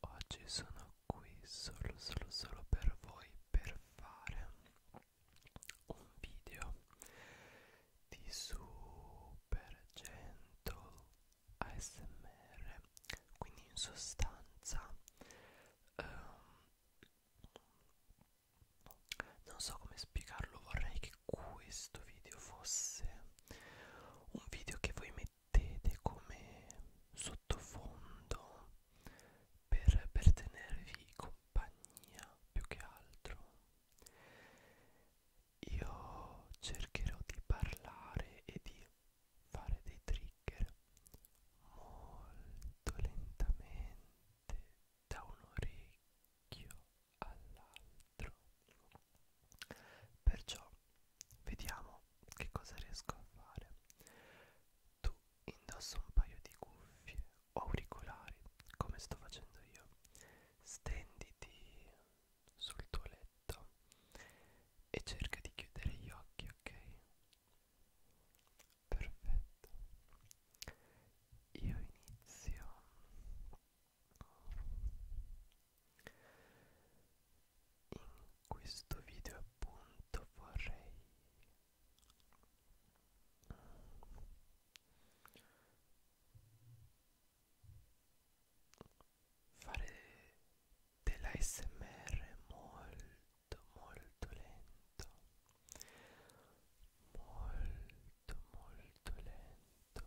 oggi sono qui solo solo solo per voi per fare un video di super gentle ASMR quindi in sostanza um, non so come spiegarlo vorrei che questo video fosse un video che voi mettete mettete come sottofondo per, per tenervi compagnia più che altro io cercherò di parlare e di fare dei trigger molto lentamente da un orecchio all'altro perciò Vediamo che cosa riesco a fare. Tu indossa un paio di cuffie o auricolari, come sto facendo io. Stenditi sul tuo letto e cerca di chiudere gli occhi, ok? Perfetto. Io inizio in questo video appunto vorrei fare dell'ASMR molto molto lento molto molto lento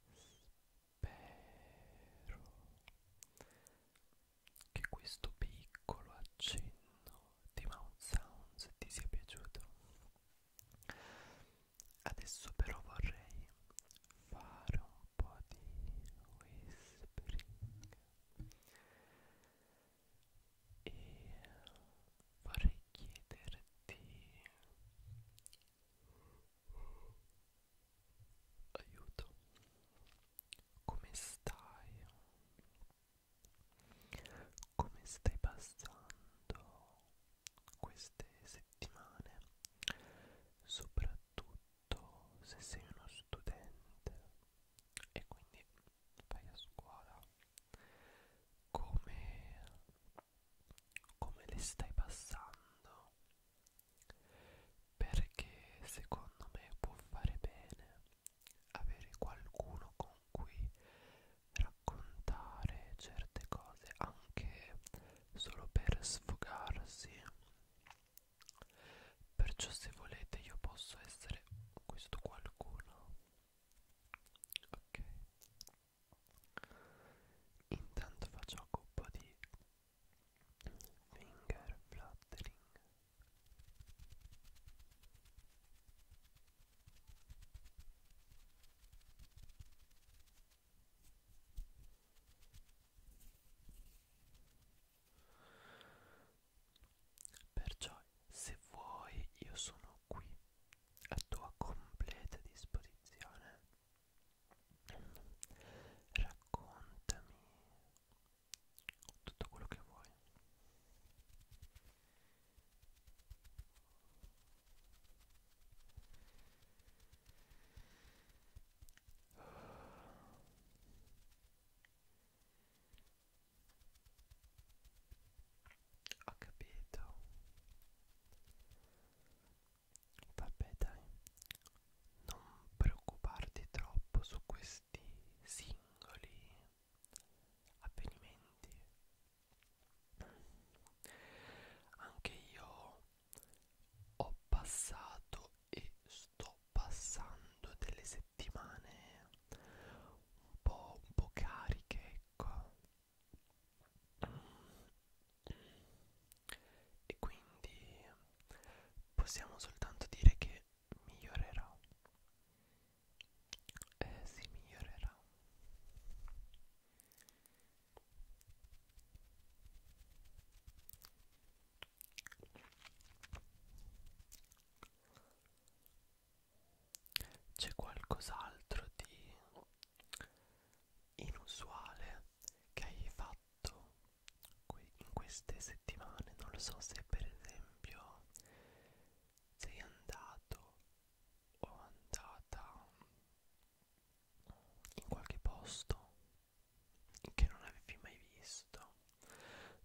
Spero che questo piccolo accenno di Mount Sounds ti sia piaciuto adesso però vorrei fare un po' di whispering e vorrei chiederti aiuto come stai come stai passando queste settimane? Soprattutto se sei uno studente e quindi vai a scuola. Come, come le stai passando? Perché secondo me può fare bene avere qualcuno con cui raccontare certe cose anche solo per sfogarsi perciò se volete io posso essere questo qualcuno ok intanto faccio un po' di finger fluttering Perciò, se vuoi, io sono qui a tua completa disposizione. Raccontami tutto quello che vuoi. Ho capito. Vabbè dai, non preoccuparti troppo su questi singoli avvenimenti anche io ho passato e sto passando delle settimane un po', un po cariche ecco e quindi possiamo soltanto dire che migliorerà eh, si migliorerà c'è qualcos'altro di inusuale che hai fatto in queste settimane non lo so se per esempio sei andato o andata in qualche posto che non avevi mai visto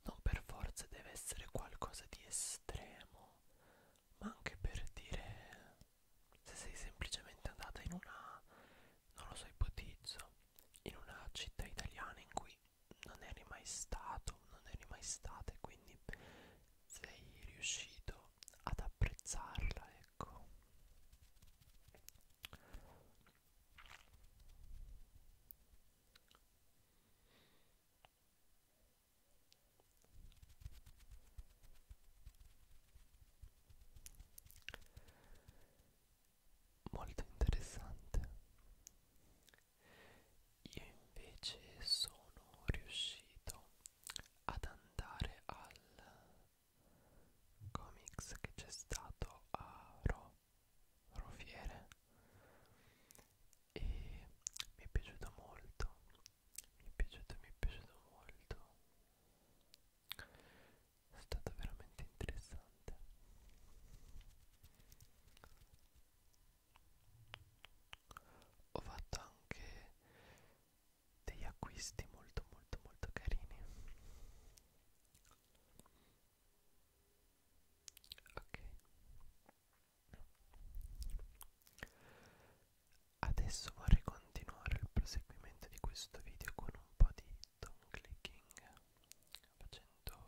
non per forza deve essere qualcosa di estremo ma anche per dire se sei semplicemente andata in una non lo so ipotizzo in una città italiana in cui cui non eri mai stato, non eri mai stata e quindi sei riuscito ad apprezzarla, ecco. Molto interessante. Io invece sono riuscito ad andare al comics che c'è stato a Ro Rofiere e mi è piaciuto molto, mi è piaciuto, mi è piaciuto molto. È stato veramente interessante ho fatto anche degli acquisti molto molto molto carini ok adesso vorrei continuare il proseguimento di questo video con un po' di tongue clicking facendo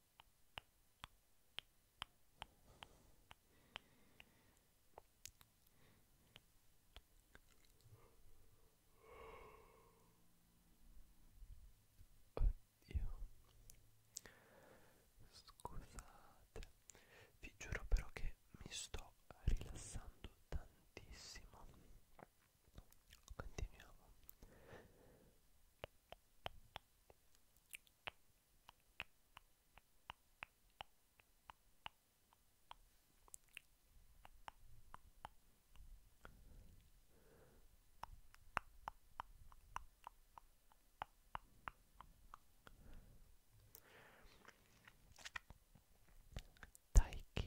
Oddio. Scusate. Vi giuro però che mi sto rilassando tantissimo. Continuiamo. Dai che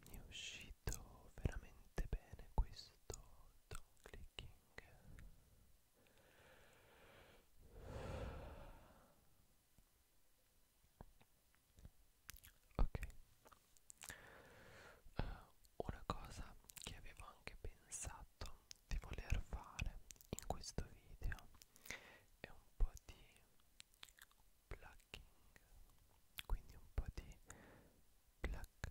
mi è uscito veramente bene questo don clicking ok uh, una cosa che avevo anche pensato di voler fare in questo video è un po' di plucking quindi un po' di pluck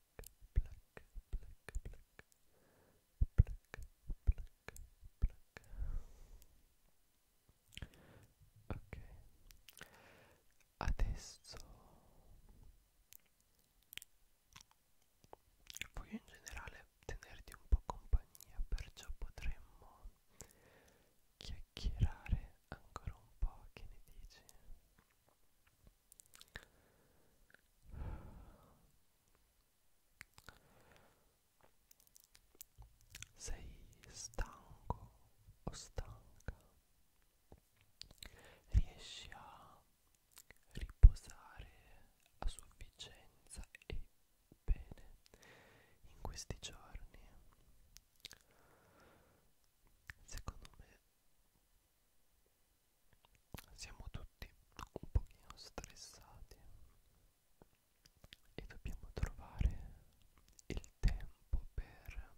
black, black, black, black, black, black. Ok, adesso voglio in generale tenerti un po' compagnia, perciò potremmo chiacchierare ancora un po'. Che ne dici? Sei stanco o stanca? Riesci a riposare a sufficienza e bene in questi giorni? Secondo me siamo tutti un pochino stressati e dobbiamo trovare il tempo per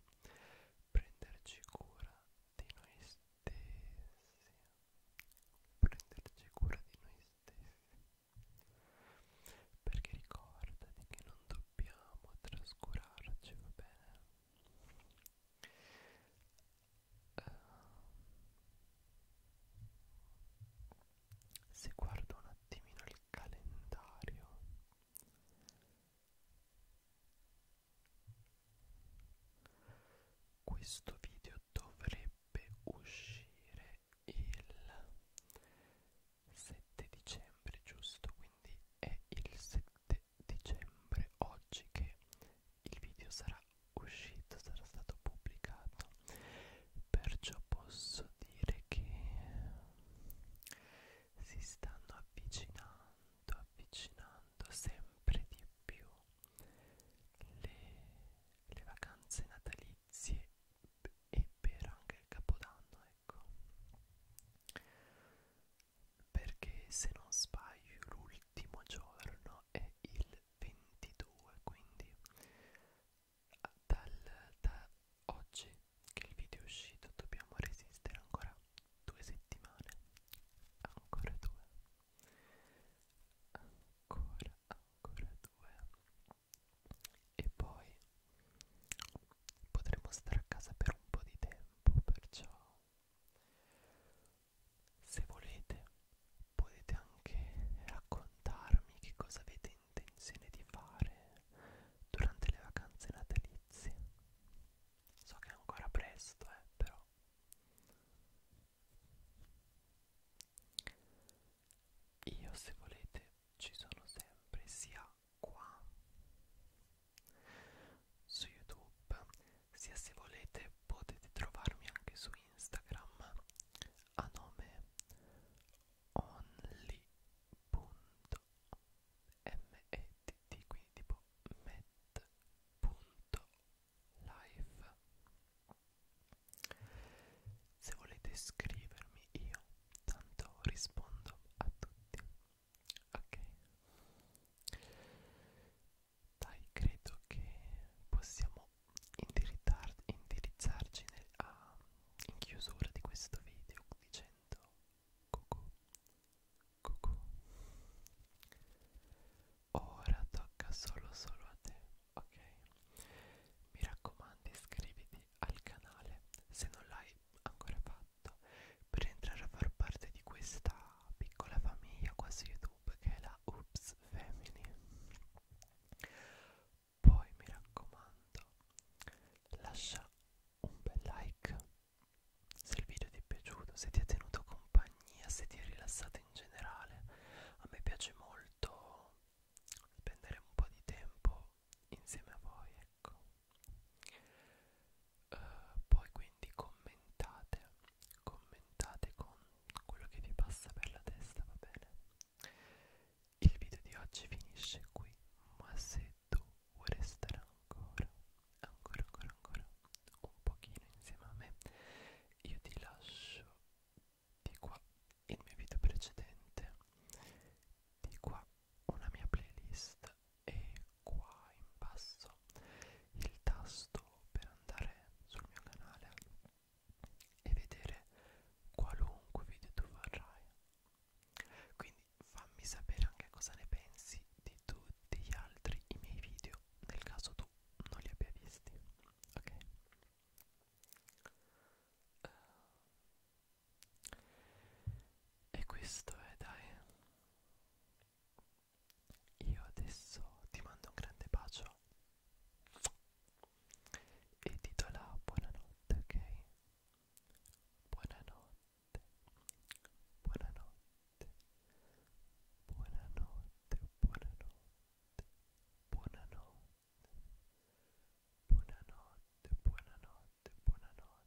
prenderci cura di noi stessi prenderci cura di noi stessi perché ricordati che non dobbiamo trascurarci va bene Uh, se guardo un attimino il calendario questo video dovrebbe uscire il 7 dicembre giusto quindi è il 7 7 dicembre oggi che il video sarà uscito sarà stato pubblicato perciò posso dire che si stanno avvicinando avvicinando sempre di più le, le vacanze natalizie e per anche il capodanno ecco perché se non sbaglio l'ultimo giorno è il 22 quindi dal, da oggi che il video è uscito dobbiamo resistere ancora due settimane ancora due ancora ancora due e poi potremo stare a casa per un po' di tempo perciò se volete potete anche raccontarmi che cosa avete intenzione di fare durante le vacanze natalizie. So che è ancora presto, eh, però. Io se volete ci sono sempre sia qua su youtube sia se volete potete trovarmi anche su instagram a nome only.met quindi tipo met.live se volete scrivermi io tanto rispondo a tutti ok dai credo che possiamo indirizzarci nel, a, in chiusura di questo video dicendo cucù cucù ora tocca solo solo a te ok mi raccomando iscriviti al canale se non l'hai ancora fatto fatto per entrare a far parte di questa piccola famiglia quasi YouTube che è la Oops Family. Poi mi raccomando, lascia un bel like se il video ti è piaciuto, se ti ha tenuto compagnia, se ti è rilassato in generale. A me piace molto spendere un po' di tempo insieme a voi, ecco eh, poi quindi commentate commentate con quello che vi passa per la testa va bene il video di oggi finisce qui ma se tu vuoi restare ancora ancora ancora ancora un pochino insieme a me io ti lascio di qua il mio video precedente di qua una mia playlist e qua in basso il tasto per andare sul mio canale e vedere qualunque video tu vorrai quindi fammi sapere anche cosa ne pensi di tutti gli altri i miei video nel caso tu non li abbia visti ok uh, e questo è dai io adesso ti mando un grande bacio e ti do la buonanotte, ok? Buonanotte, buonanotte, buonanotte, buonanotte, buonanotte, buonanotte, buonanotte, buonanotte.